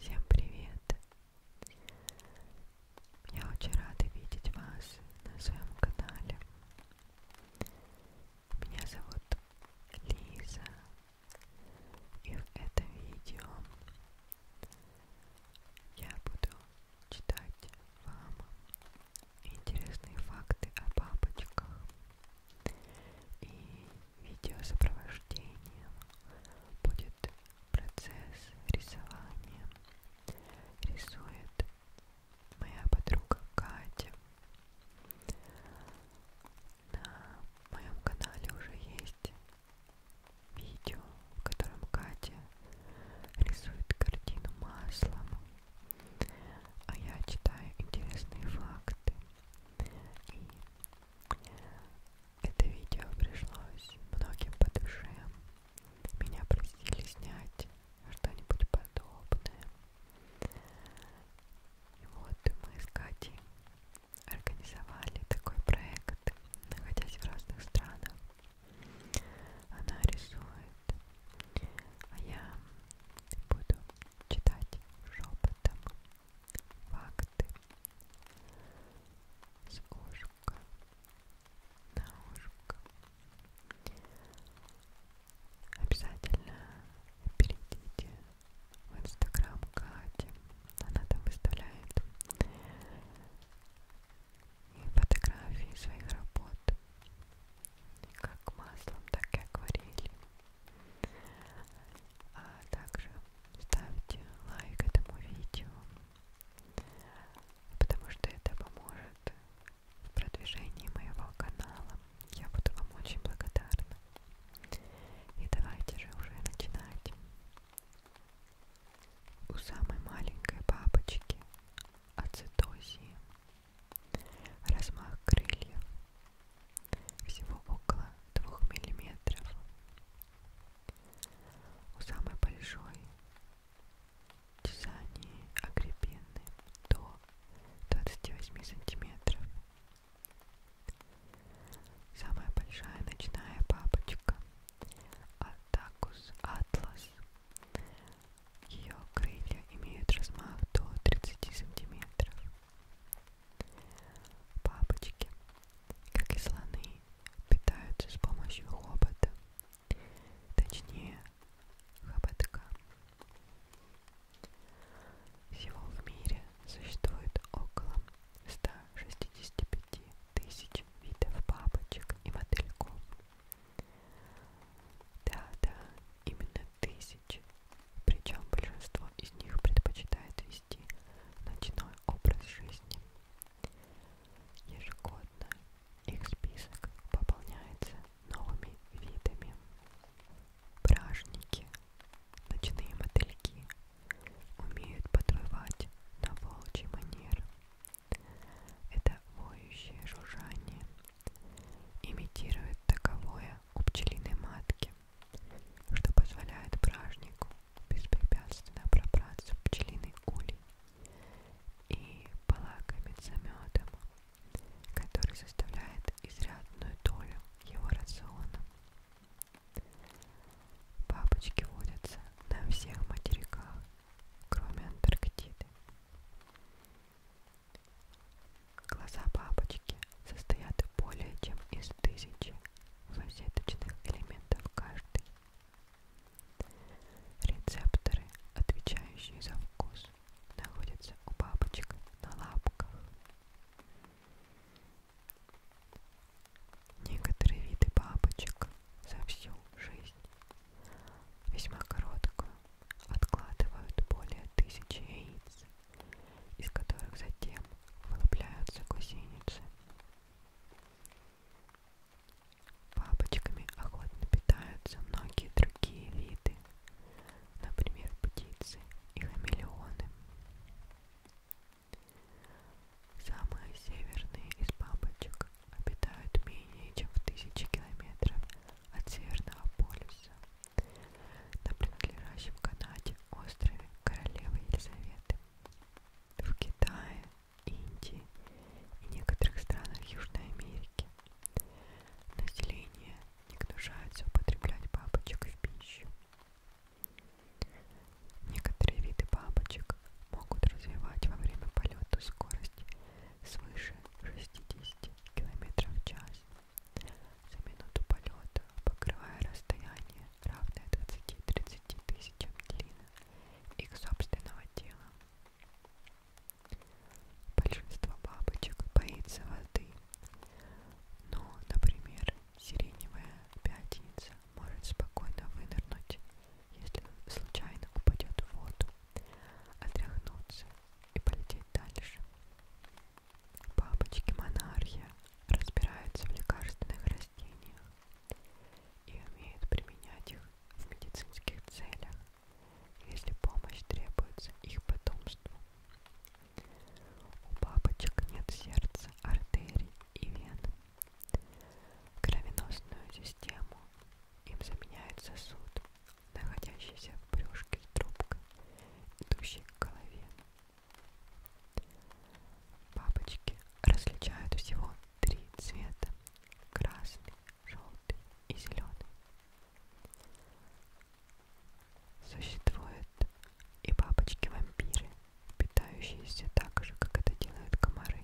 Всем привет! Я очень рада видеть вас на своем канале. Меня зовут Лиза, и в этом видео я буду читать вам интересные факты о бабочках. И видеосопровождением будет процесс рисования. Рисует моя подруга Катя. На моем канале уже есть видео, в котором Катя рисует картину маслом, а я читаю интересные факты и это видео пришлось многим по душе. Меня просили снять что-нибудь подобное. И вот мы с Катей организовали такой проект, находясь в разных странах. Она рисует, а я буду читать шепотом Факты с ушка на ушко. Обязательно перейдите в инстаграм Кати. Она там выставляет и фотографии своих работ. И как маслом, так и акварелью. А также ставьте лайк этому видео, потому что это поможет в продвижении моего канала. Я буду вам очень благодарна. И давайте же уже начинать. У самой маленькой бабочки ацетозии размах крыльев всего около 2 миллиметров. У самой большой тесании агрепины до 28 сантиметров. Самая большая ночная бабочка Атакус атлас. Ее крылья имеют размах до 30 сантиметров. Бабочки, как и слоны, питаются с помощью хобота, точнее хоботка. Всего в мире существует около 165 тысяч видов бабочек и мотыльков. Да-да, именно тысяч, причем большинство из них предпочитает вести ночной образ жизни. Ежегодно их список пополняется новыми видами. Бражники, ночные мотыльки, умеют подвывать на волчий манер. Это воющее жужжание имитирует таковое у пчелиной матки, что позволяет бражнику беспрепятственно пробраться в пчелиный улей и полакомиться медом, который составляет изрядную долю его рациона. Бабочки водятся на всех материках, кроме Антарктиды. Глаза бабочки состоят более чем из тысячи фасеточных элементов каждый. Рецепторы, отвечающие за вкус, находятся у бабочек на лапках. Некоторые виды бабочек за всю жизнь, весьма короткую, откладывают более тысячи яиц из которых затем вылупляются гусеницы. Бабочками охотно питаются многие другие виды, например, птицы и хамелеоны. Самые северные из бабочек обитают менее чем в тысячи километров от Северного полюса на принадлежащем Канаде острове королевы Елизаветы, в Китае, Индии и некоторых странах Южной Америки. Население не гнушается употреблять бабочек в пищу. Некоторые виды бабочек могут развивать во время полета скорость свыше 60 км в час за минуту полета, покрывая расстояние, равное 20-30 тысячам длины их собственного тела. Большинство бабочек боится воды, но, например, сиреневая пятница может спокойно вынырнуть, если случайно упадет в воду, отряхнуться и полететь дальше. Бабочки монархия разбираются в лекарственных растениях и умеют применять их в медицинских целях, если помощь требуется их потомству. У бабочек нет сердца, артерий и вен. Кровеносную систему им заменяет сосуд, находящийся в брюшке трубка, идущей к голове. Бабочки различают всего три цвета – красный, желтый и зеленый. Существуют и бабочки-вампиры, питающиеся так же, как это делают комары.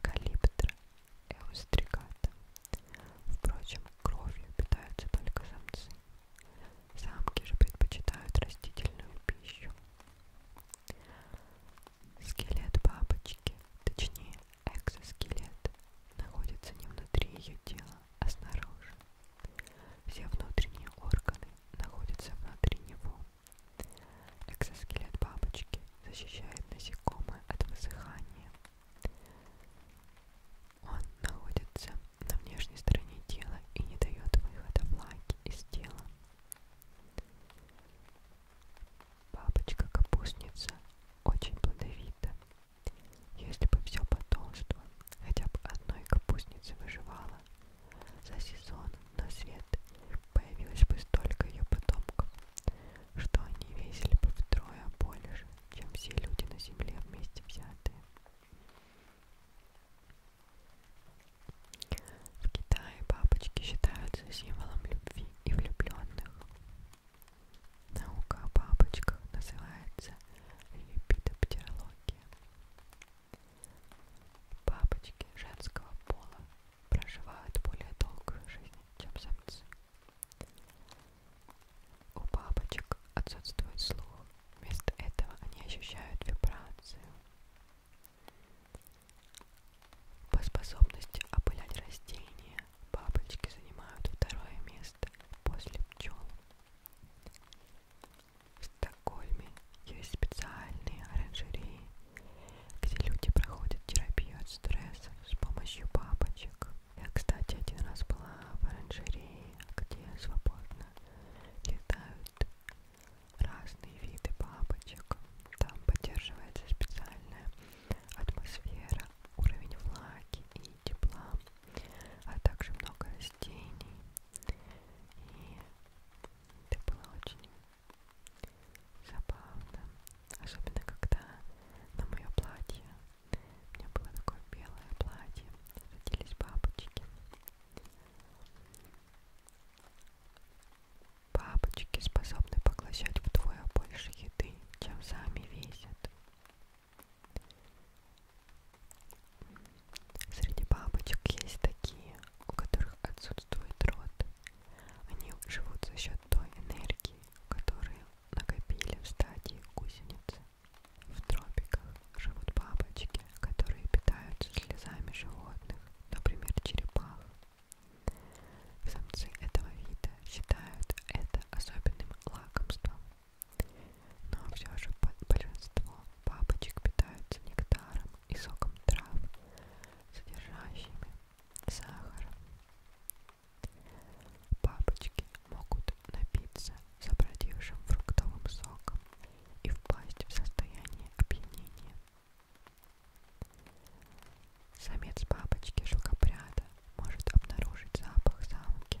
Калиптра эустригата. Впрочем, кровью питаются только самцы. Самки же предпочитают растительную пищу. Скелет бабочки, точнее экзоскелет, находится не внутри ее тела, а снаружи. Все внутренние органы находятся внутри него. Экзоскелет бабочки защищает насекомое от высыхания он находится на внешней стороне тела и не дает выхода влаги из тела. Бабочка-капустница очень плодовита. Если бы все потолство, хотя бы одной капустницы выживала, за сезон на свет появилось бы столько ее потомков, что они весили бы втрое больше, чем все люди на земле вместе взятые. В Китае бабочки считаются символом любви и влюбленных. Наука о бабочках называется липидоптерология. Бабочки женского пола проживают более долгую жизнь, чем самцы. У бабочек отсутствует слух, вместо этого они ощущают вибрацию. По способности опылять растения бабочки занимают второе место после пчел. В Стокгольме есть специальные оранжереи, где люди проходят терапию от стресса с помощью бабочек. Я, кстати, один раз была в оранжерее, где свободно летают разные виды бабочек. Там поддерживается специальная атмосфера, уровень влаги и тепла, а также много растений. И это было очень забавно. Особенно, когда на мое платье, у меня было такое белое платье, родились бабочки. Бабочки способны поглощать вдвое больше еды, чем сами весят. Среди бабочек есть такие, у которых отсутствует рот. Они живут за счет той энергии, которую накопили в стадии гусеницы. В тропиках живут бабочки, которые питаются слезами животных, например, черепах. Самцы этого вида считают это особенным лакомством. Но все же большинство бабочек питаются нектаром и соком трав, содержащими сахар. Бабочки могут напиться забродившим фруктовым соком и впасть в состояние опьянения. Самец бабочки шелкопряда может обнаружить запах самки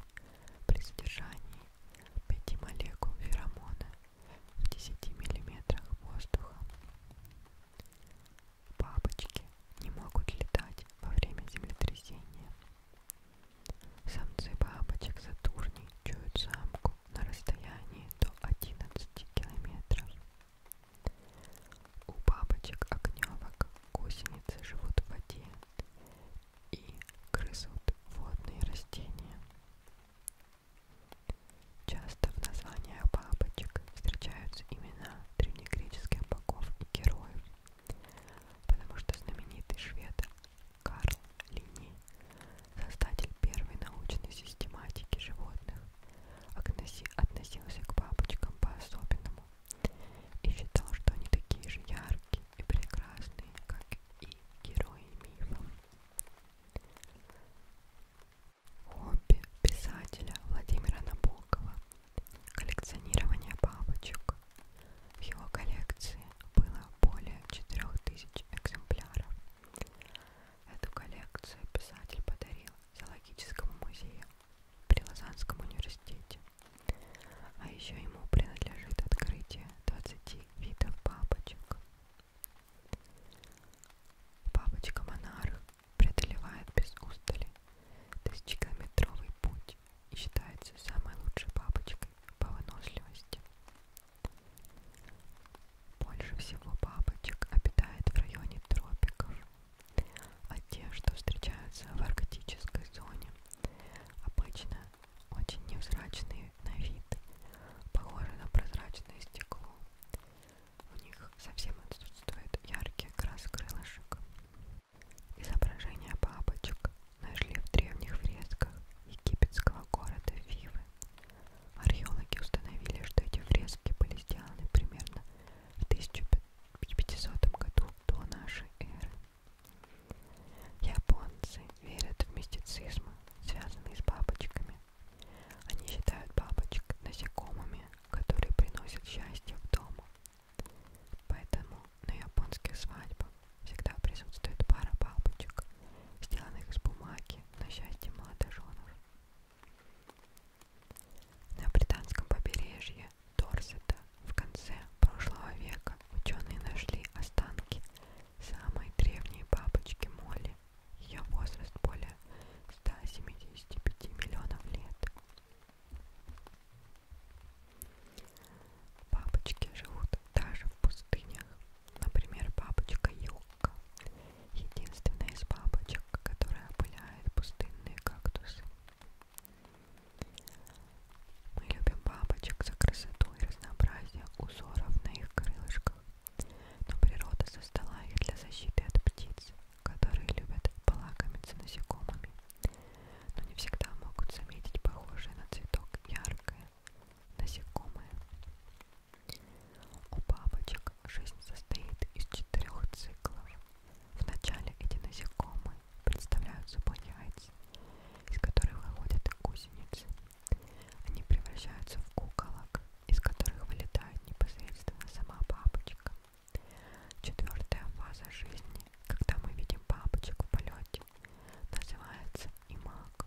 при содержании 5 молекул феромона в 10 мм воздуха. Бабочки не могут летать во время землетрясения. Самцы бабочек Сатурни чуют самку на расстоянии до 11 километров. У бабочек огневок гусеницы живут в воде и грызут водные растения. Часто в названиях бабочек встречаются имена древнегреческих богов и героев, потому что знаменитый швед Карл Лини, создатель первой научной систематики животных, относился к бабочкам по-особенному и считал, что они такие же яркие и прекрасные, как и герои мифов. Хобби писателя Владимира Набокова – коллекционирование бабочек. В его коллекции было более 4000 экземпляров. Эту коллекцию писатель подарил зоологическому музею при Лозаннском университете. А еще ему принадлежит открытие 20 видов бабочек. Бабочка монарх преодолевает без устали тысячекилометровый путь и считается самой лучшей бабочкой по выносливости. Больше всего бабочек обитает в районе тропиков, а те, что встречаются в арктической зоне, обычно очень невзрачные на вид, похожи на прозрачное стекло, у них совсем отсутствует яркий окрас крылышек. Изображения бабочек нашли в древних фресках египетского города Фивы. Археологи установили, что эти фрески были сделаны примерно в 1500 году до нашей эры. Японцы верят в мистицизм, связанный с бабочками. Они считают бабочек насекомыми, которые приносят счастье в дом. Поэтому на японских свадьбах всегда присутствует пара бабочек, сделанных из бумаги на счастье молодоженов. На британском побережье Дорсета в конце прошлого века ученые нашли останки самой древней бабочки Молли, ее возраст более 175 миллионов лет. Бабочки живут даже в пустынях. Например, бабочка юбка. Единственная из бабочек, которая опыляет пустынные кактусы. Мы любим бабочек за красоту и разнообразие узоров на их крылышках но природа создала их для защиты от птиц, которые любят полакомиться насекомыми, но не всегда могут заметить похожие на цветок яркое насекомое. У бабочек жизнь состоит из четырех циклов. Вначале эти насекомые представляют собой яйца, из которых выходят гусеницы. Они превращаются в куколок, из которых вылетает непосредственно сама бабочка. Четвертая фаза жизни, когда мы видим бабочек в полете, называется имаг.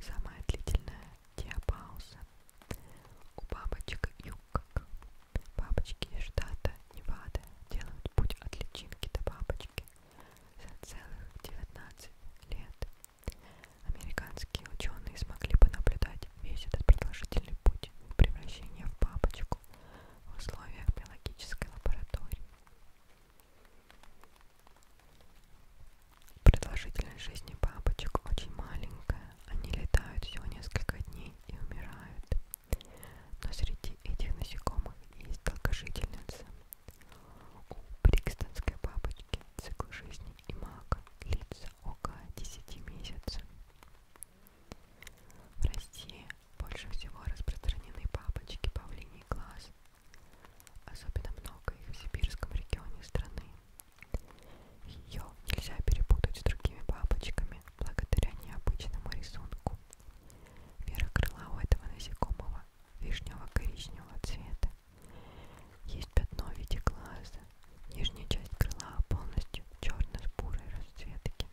Самая длительная диапауза у бабочек юкок. Бабочки из штата Невада делают путь от личинки до бабочки за целых 19 лет. Американские ученые смогли понаблюдать весь этот продолжительный путь превращения в бабочку в условиях биологической лаборатории. Продолжительность жизни бабочек очень маленькая. Они летают всего несколько дней и умирают. Но среди этих насекомых есть долгожительницы. У брикстонской бабочки цикл жизни и мак длится около 10 месяцев. В России больше всего распространены папочки павлиний глаз. Особенно много их в сибирском регионе страны. Ее нельзя перепутать с другими бабочками благодаря необычному рисунку. Вера крыла у этого насекомого вишнево-коричневого цвета. Есть пятно в виде глаза. Нижняя часть крыла полностью черно-бурой расцветки.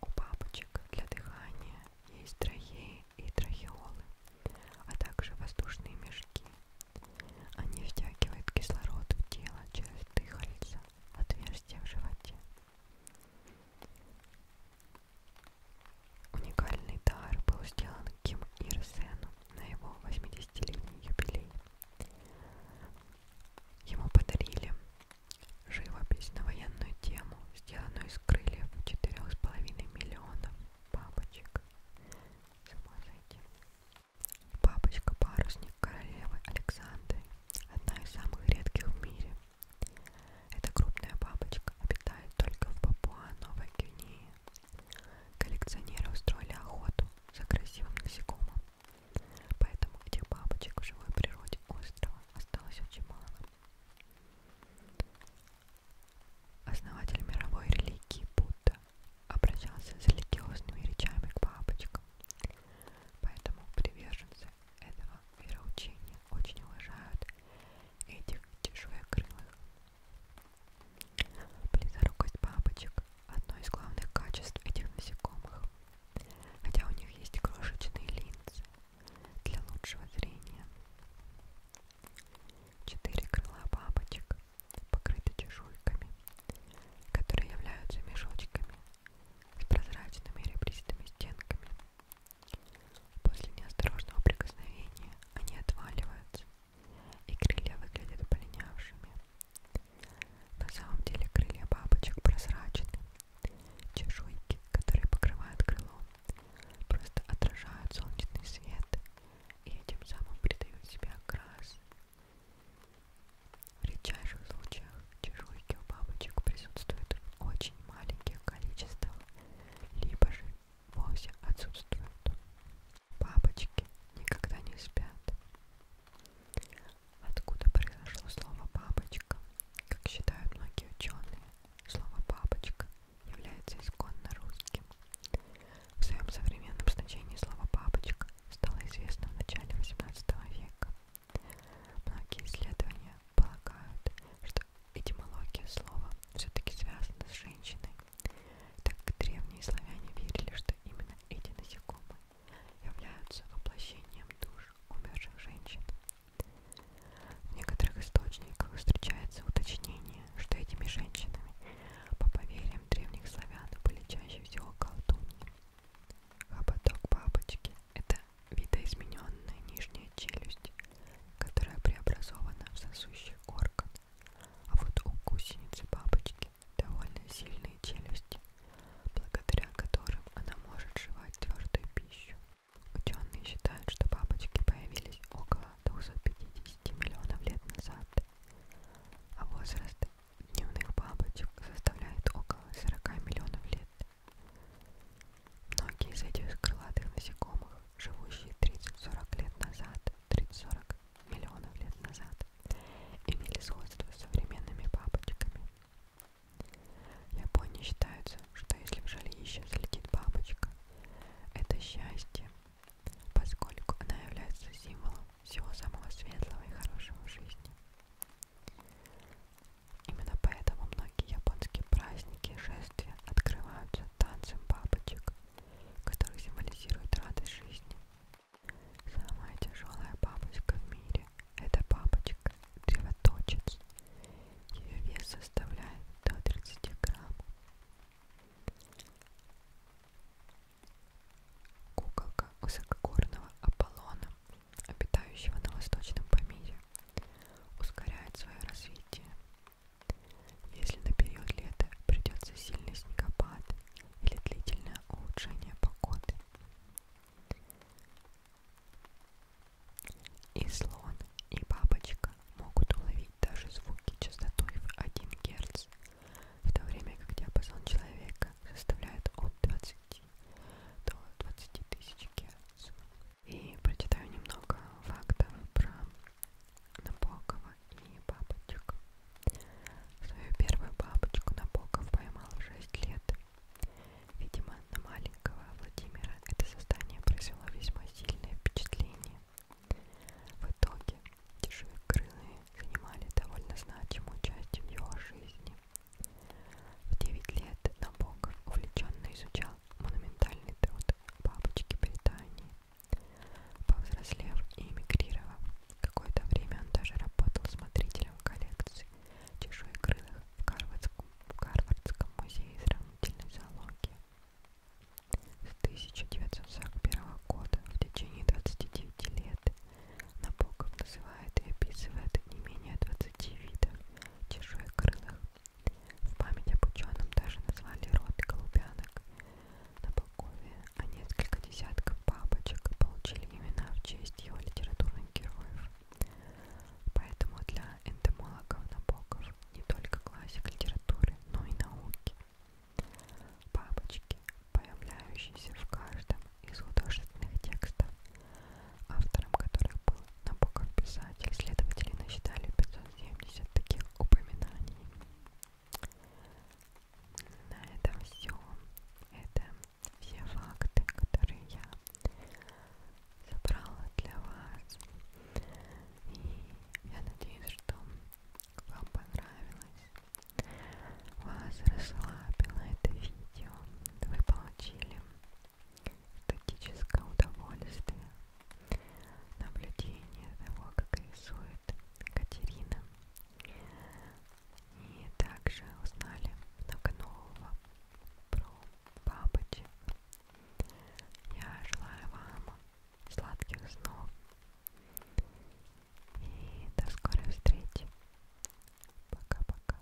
У бабочек для дыхания есть трахеи и трахеолы, а также воздушные мешки. Они втягивают кислород в тело через дыхальца, отверстия в животе. Уникальный дар был сделан Ким Ир Сену на его 80-летний юбилей. Ему подарили живопись на военную тему, сделанную из крыльев 4,5 миллионов бабочек. Сама зайти. Бабочка-парусник королевы Александры, одна из самых редких в мире. Эта крупная бабочка обитает только в Папуа-Новой Гвинее. Коллекционеры устроили охоту за красивым насекомым, поэтому этих бабочек в живой природе острова осталось очень мало. Основатель мировой религии Будда обращался с религиозными речами к бабочкам, поэтому приверженцы этого вероучения очень уважают этих чешуекрылых. Близорукость бабочек – одно из главных качеств этих насекомых, хотя у них есть крошечные линзы для лучшего зрения. Четыре крыла бабочек покрыты чешуйками, которые являются мешочками с прозрачными ребристыми стенками После неосторожного прикосновения они отваливаются, и крылья выглядят полинявшими. На самом деле крылья бабочек прозрачны. Чешуйки, которые покрывают крыло, просто отражают солнечный свет и этим самым придают себе окрас. В редчайших случаях чешуйки у бабочек присутствуют в очень маленьких количествах, либо же вовсе отсутствуют. Бабочки никогда не спят. Откуда произошло слово «бабочка»? Как считают многие ученые, слово «бабочка» является исконно русским. В своем современном значении слово «бабочка» стало известно в начале XVIII века. Многие исследования полагают, что этимология слова все-таки связана с женщиной, так как древние славяне верили, что именно эти насекомые являются воплощением душ умерших женщин. В некоторых источниках встречается уточнение, что этими женщинами, по поверьям древних славян, были чаще всего колдуньи. Хоботок а бабочки – это это видоизмененная нижняя челюсть, которая преобразована в сосущий орган. А вот у гусеницы бабочки довольно сильные челюсти, благодаря которым она может жевать твердую пищу. Ученые считают, что бабочки появились около 250 миллионов лет назад, а возраст дневных бабочек составляет около 40 миллионов лет. Многие из этих крылатых насекомых, живущие 30-40 лет назад, 30-40 миллионов лет назад, имели сходство с современными бабочками. В Японии считается, что если в жилище слетит бабочка, это счастье, поскольку она является символом всего самого светлого и хорошего в жизни. Именно поэтому многие японские праздники и шествия открываются танцем бабочек, который символизирует радость жизни. Самая тяжелая бабочка в мире – это бабочка древоточец. Ее вес составляет до 30 грамм. Куколка высокогорного Аполлона, обитающего на восточном помире, ускоряют свое развитие. Если на период лета придется сильный снегопад или длительное улучшение погоды. И слон, и бабочка могут уловить даже звуки частотой в 1 Гц, в то время как диапазон человека составляет от 20 до 20 тысяч Чикец. И прочитаю немного фактов про Набокова и бабочек. Свою первую бабочку Набоков поймал в 6 лет. Видимо, на маленького Владимира это создание произвело весьма сильное впечатление. В итоге дешевекрылые занимали довольно значимую часть в его жизни. В 9 лет Набоков увлеченно изучал монументальный труд бабочки Британии. Повзрослев и эмигрировав, какое-то время он даже работал смотрителем коллекции чешуекрылых в Гарвардском, в Гарвардском музее сравнительной зоологии. С 1941 года в течение 29 лет Набоков называет и описывает не менее 20 видов чешуекрылых в память об ученом даже назвали род голубянок. На Балкове, а несколько десятков бабочек получили имена в честь его литературных героев. Поэтому для энтомологов Набоков не только классик литературы, но и науки. Бабочки, появляющиеся в каждом из художественных текстов, автором которых был Набоков писатель. Следователи насчитали 570 таких упоминаний. На этом все. Это все факты, которые я собрала для вас. И я надеюсь, что вам понравилось, вас расслабило это видео, вы получили эстетическое удовольствие, наблюдение того, как рисует Катерина. И также узнали много нового про бабочек. Я желаю вам сладких снов и до скорой встречи. Пока-пока.